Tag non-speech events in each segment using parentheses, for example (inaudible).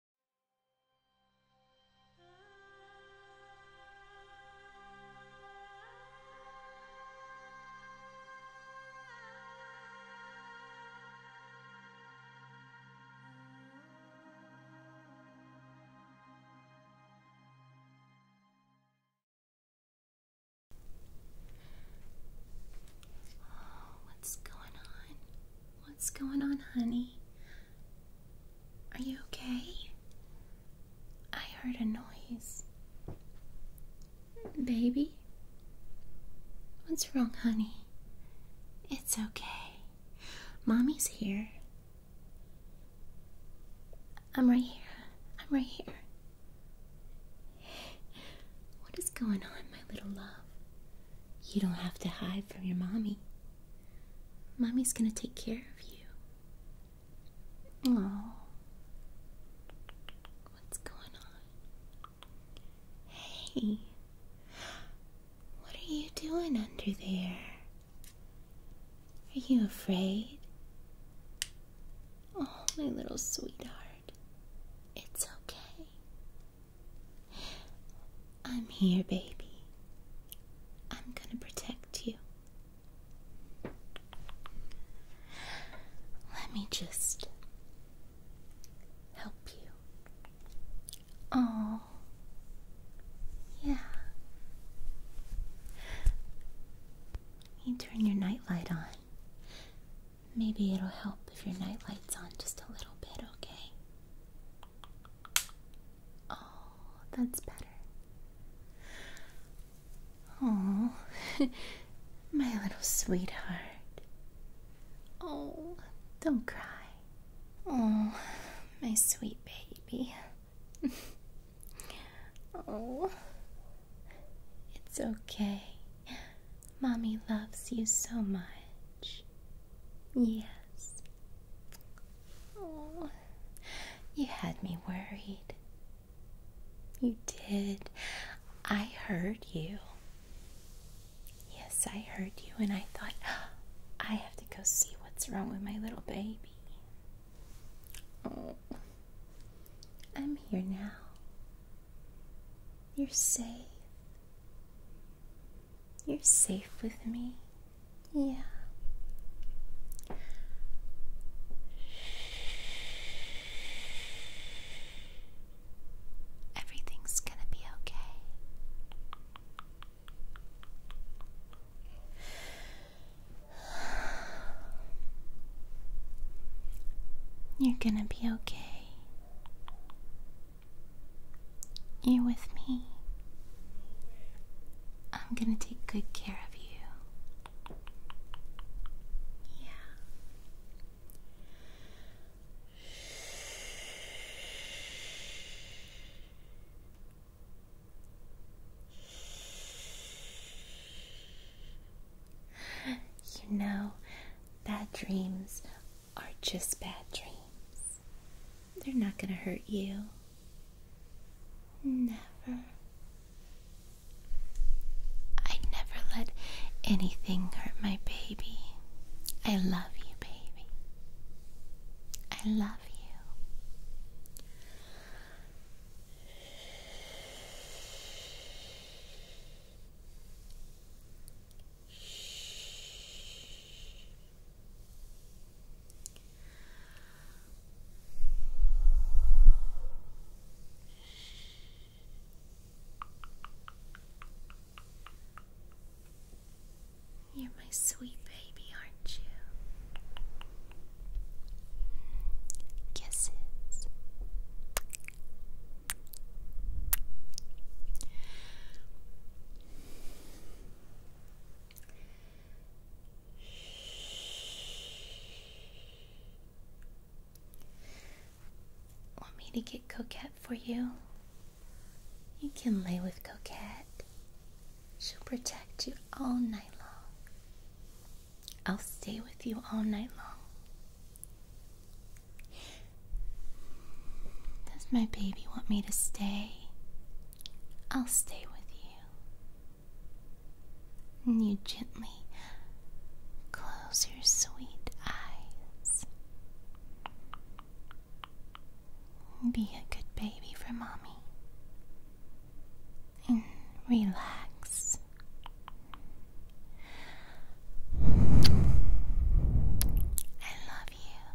Oh, what's going on? What's going on, honey? Are you okay? I heard a noise. Baby? What's wrong, honey? It's okay. Mommy's here. I'm right here. I'm right here. What is going on, my little love? You don't have to hide from your mommy. Mommy's gonna take care of you. Oh. What's going on? Hey. What are you doing under there? Are you afraid? Oh, my little sweetheart. It's okay. I'm here, baby. I'm gonna protect you. Let me just help you. Oh, yeah. You turn your nightlight on. Maybe it'll help if your nightlight's on just a little bit, okay? Oh, that's better. Oh, (laughs) my little sweetheart. Oh, don't cry. Oh, my sweet baby. (laughs) oh, it's okay. Mommy loves you so much. Yes, Oh, you had me worried. You did. I heard you. Yes, I heard you, and I thought, (gasps) I have to go see what's wrong with my little baby. Oh, I'm here now. You're safe. You're safe with me. Yeah. Everything's gonna be okay. You're gonna be okay. You're with me. I'm gonna take good care of you. Yeah. You know, bad dreams are just bad dreams. They're not going to hurt you. Never. I never let anything hurt my baby. I love you, baby. I love you. You're my sweet baby, aren't you? Kisses. Want me to get Coquette for you? You can lay with Coquette. She'll protect you all night long. I'll stay with you all night long. Does my baby want me to stay? I'll stay with you. And you gently close your sweet eyes. Be a good baby for mommy. And relax. I love you.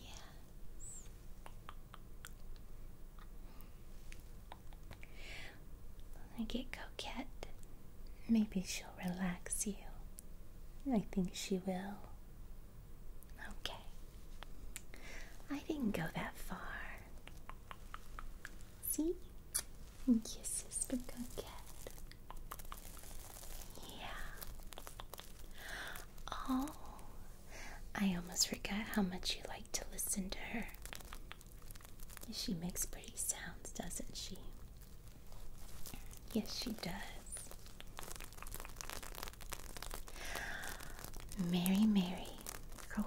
Yes. When I get coquette, maybe she'll relax you. I think she will. Okay. I didn't go that far. See? Kisses for coquette. Yeah. Oh, I almost forgot how much you like to listen to her. She makes pretty sounds, doesn't she? Yes, she does. Mary, Mary,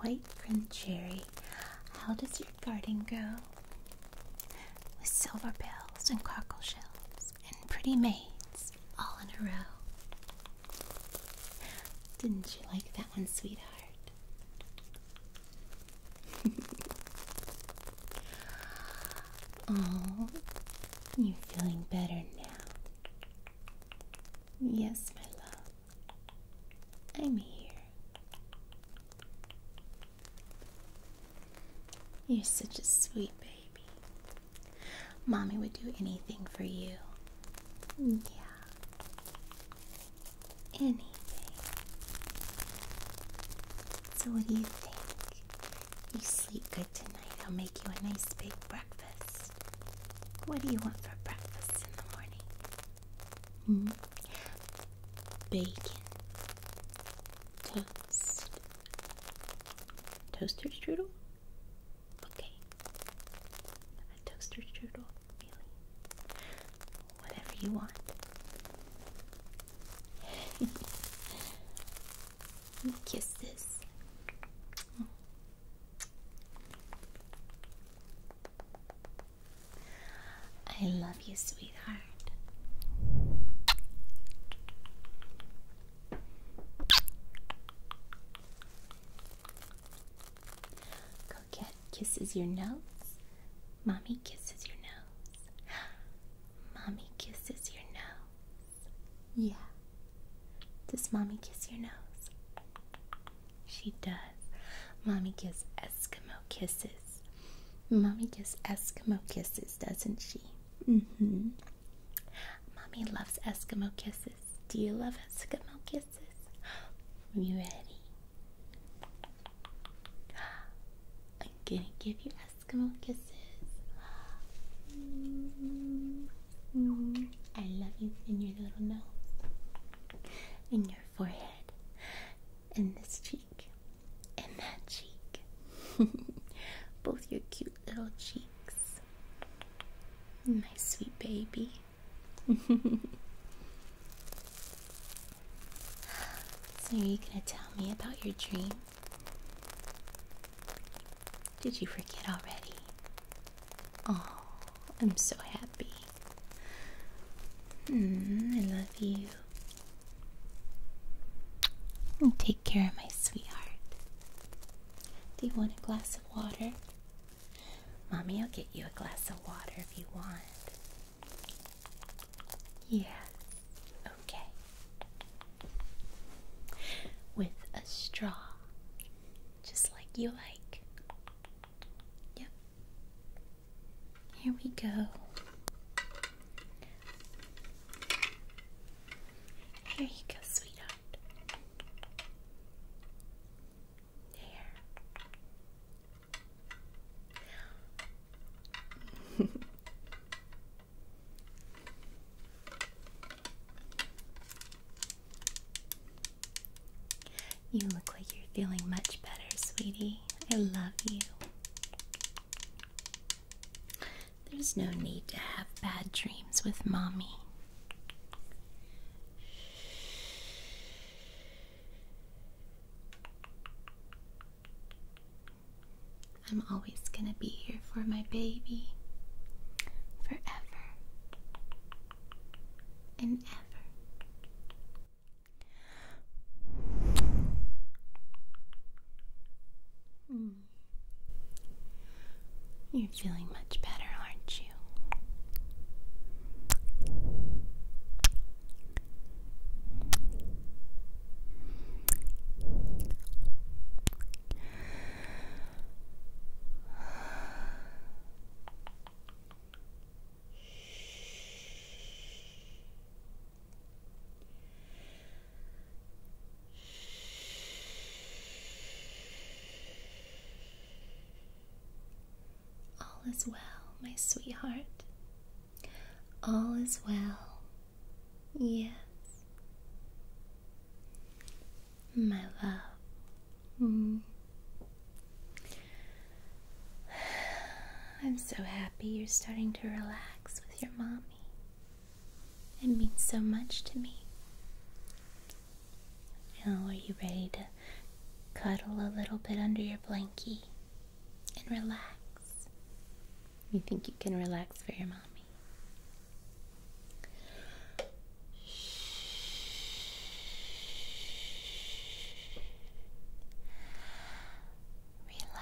white from Cherry, how does your garden go? With silver bells and cockle shells and pretty maids all in a row. Didn't you like that one, sweetheart? oh, (laughs) you feeling better now? Yes, my love. I'm here. You're such a sweet baby baby. Mommy would do anything for you. Yeah. Anything. So, what do you think? You sleep good tonight. I'll make you a nice big breakfast. What do you want for breakfast in the morning? Mm -hmm. Bacon. Toast. Toaster strudel? Okay. A toaster strudel, Whatever you want. (laughs) Kisses. Oh. I love you, sweetheart. Coquette kisses your nose. Mommy kisses your nose. (gasps) Mommy kisses your nose. Yeah. Does mommy kiss your nose? She does. Mommy gives Eskimo kisses. Mommy gives Eskimo kisses, doesn't she? Mm-hmm. Mommy loves Eskimo kisses. Do you love Eskimo kisses? Are you ready? I'm gonna give you Eskimo kisses. I love you in your little nose, in your forehead, in this cheek, in that cheek. (laughs) Both your cute little cheeks. My sweet baby. (laughs) so, are you going to tell me about your dream? Did you forget already? Oh, I'm so happy. Hmm, I love you. i take care of my sweetheart. Do you want a glass of water? Mommy, I'll get you a glass of water if you want. Yeah, okay. With a straw, just like you like. Yep. Here we go. Here you go, sweetheart. There. you look like you're feeling much better, sweetie. I love you. There's no need to have bad dreams with mommy. I'm always going to be here for my baby. Forever and ever. Hmm. You're feeling much better, aren't you? (sighs) All is well, my sweetheart. All is well. Yes. My love. Mm. (sighs) I'm so happy you're starting to relax with your mommy. It means so much to me. Now, are you ready to cuddle a little bit under your blankie and relax? You think you can relax for your mommy? Relax.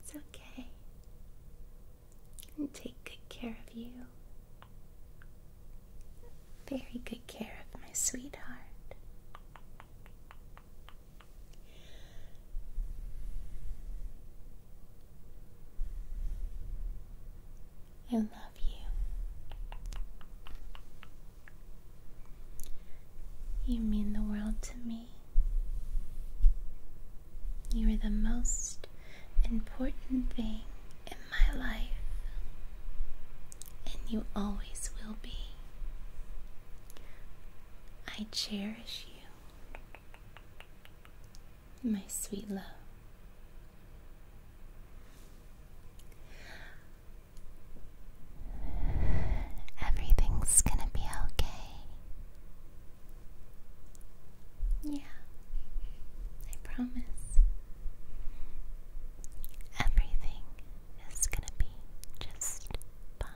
It's okay. And take good care of you. Very good care of my sweetheart. I love you. You mean the world to me. You are the most important thing in my life, and you always will be. I cherish you my sweet love. Everything's gonna be okay. Yeah, I promise. Everything is gonna be just fine.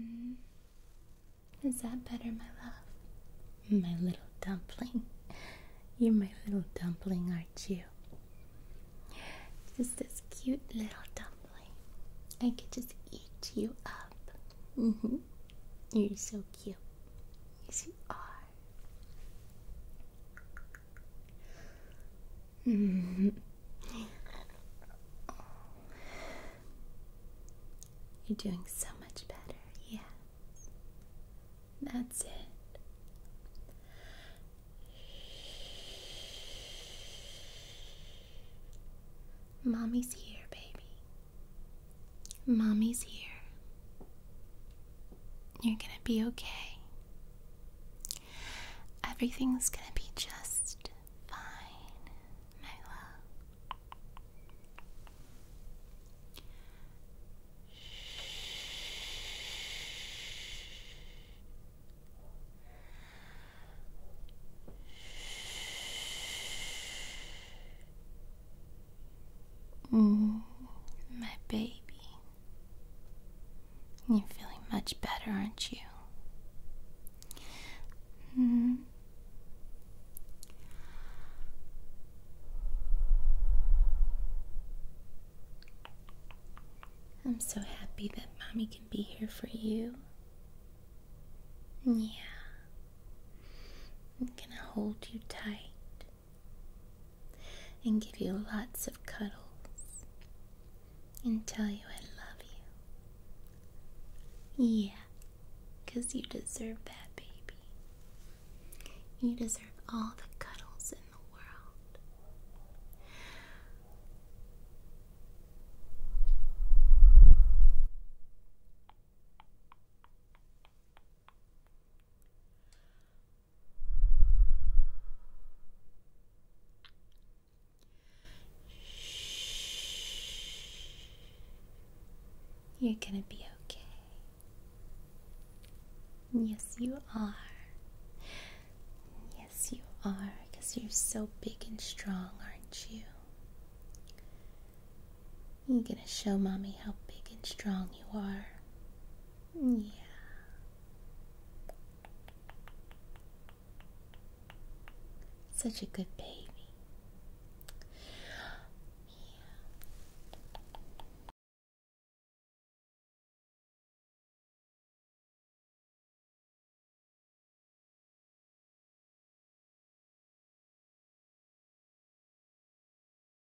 Mm. Is that better, my love? My little dumpling. You're my little dumpling, aren't you? Just this cute little dumpling. I could just eat you up. hmm You're so cute. Yes, you are. oh. You're doing so much better, Yeah. That's it. Mommy's here, baby. Mommy's here. You're gonna be okay. Everything's gonna be just fine, my love. Mm, my baby. You're feeling much better, aren't you? Mm-hmm. I'm so happy that mommy can be here for you. Yeah. I'm gonna hold you tight and give you lots of cuddles and tell you I love you. Yeah, because you deserve that, baby. You deserve all the cuddles in the world. You're gonna be okay. Yes, you are. Yes, you are, because you're so big and strong, aren't you? You're gonna show mommy how big and strong you are. Yeah. Such a good baby. Yeah.